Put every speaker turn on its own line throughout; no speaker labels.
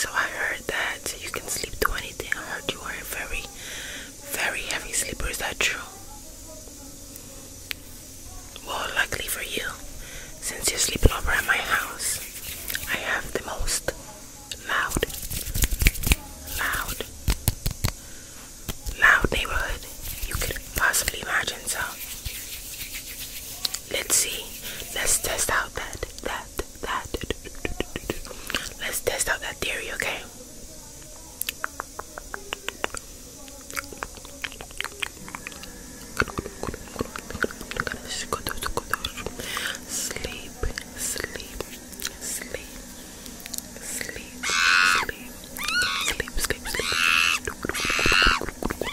So I heard that you can sleep through anything. I heard you are a very, very heavy sleeper. Is that true? Well, luckily for you, since you're sleeping over at my house, I have the most loud, loud, loud neighborhood you could possibly imagine. So Let's see. Let's test out that that that. Let's test out that theory, okay? Sleep, sleep, sleep, sleep, sleep, sleep, sleep, sleep.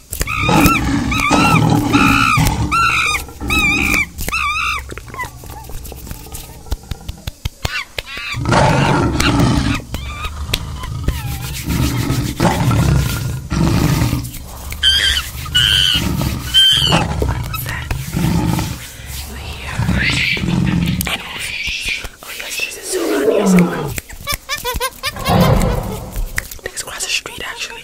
Oh yes, there's a zoo around here somewhere. I
think it's across the street actually.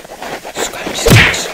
scratch, scratch, Sleep, sleep.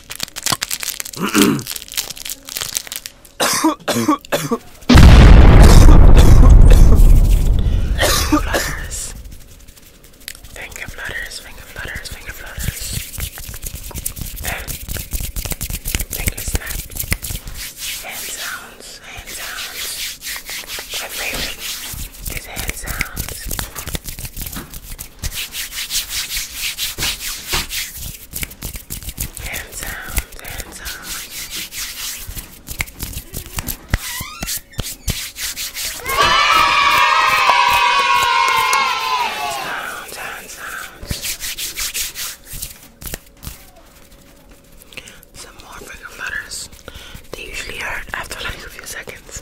flutters. Finger flutters, finger flutters, finger flutters. Finger snap. Hand sounds, hand sounds. My favorite is hand sounds. Hands out, hands out. Hands out, hands
Some more freaking butters. They usually hurt after like a few seconds.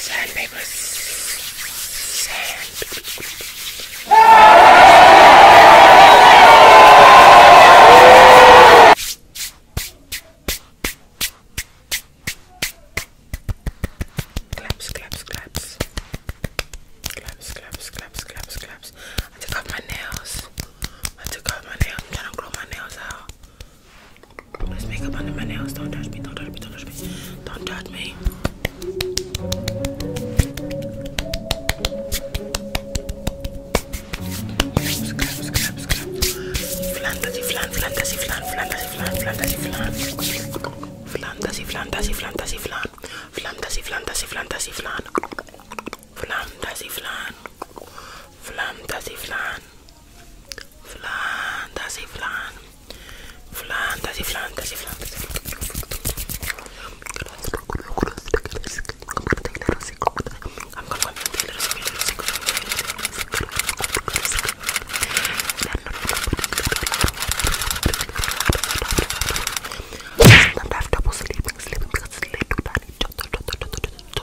Sandpaper. Claps, claps, claps. Claps, claps, claps, claps, claps. I took off my nails. I took off my nails. I'm trying to grow my nails out. Let's make up under my nails. Don't touch me. Don't touch me. Don't touch me. Don't touch me. Scrap, scrap, scrap. Fantasy, flan, fantasy, flan, fantasy, flan, fantasy, flan. Fantasy, fantasy, fantasy, flan. Fantasy, fantasy, fantasy, fantasy, flan. Flam dasi flan. Flam dasi flan. Flan dasi flan. Flan dasi flan dasi flan. I'm gonna want to take Sometimes I have trouble sleeping, sleeping because it's late to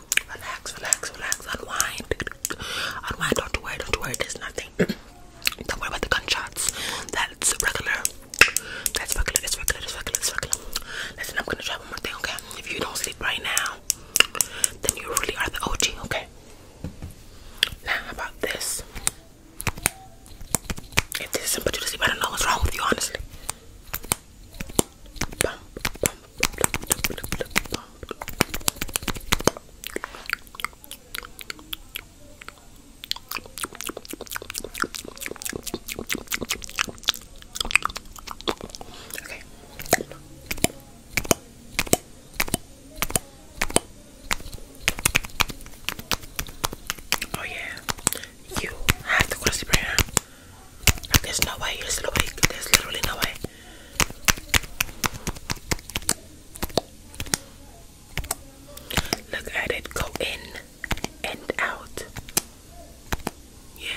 Relax, relax, relax, unwind. Unwind, don't worry, don't worry, there's nothing. don't worry about the gunshots. That's regular. That's regular, that's regular, that's regular, that's regular. Listen, I'm gonna try one more thing, okay? If you don't sleep right now, then you really are the OG, okay? Now, how about this? If this isn't put you to sleep, I don't know what's wrong with you, honestly. Bump, bump, Okay. Oh yeah, you have to go there's no way. There's, no way. There's literally no way. Look at it go in and out. Yeah.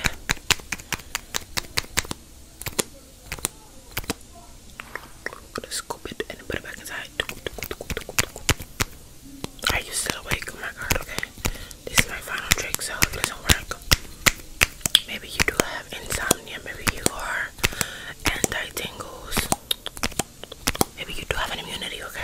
I'm gonna scoop it and put it back inside. Are you still awake? Oh my god, okay. This is my final trick, so it doesn't work, maybe you do have insomnia, maybe you are anti tingles, maybe you do have an immunity, okay?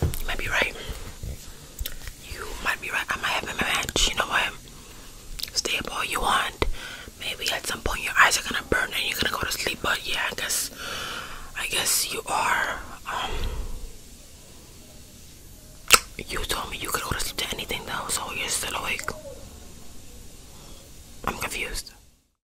You might be right. You might be right. I might have a match. You know what? Stay up all you want. Maybe at some point your eyes are gonna burn and you're gonna go to sleep. But yeah, I guess, I guess you are. Um, you told me you could go to sleep to anything though, so you're still awake. I'm confused.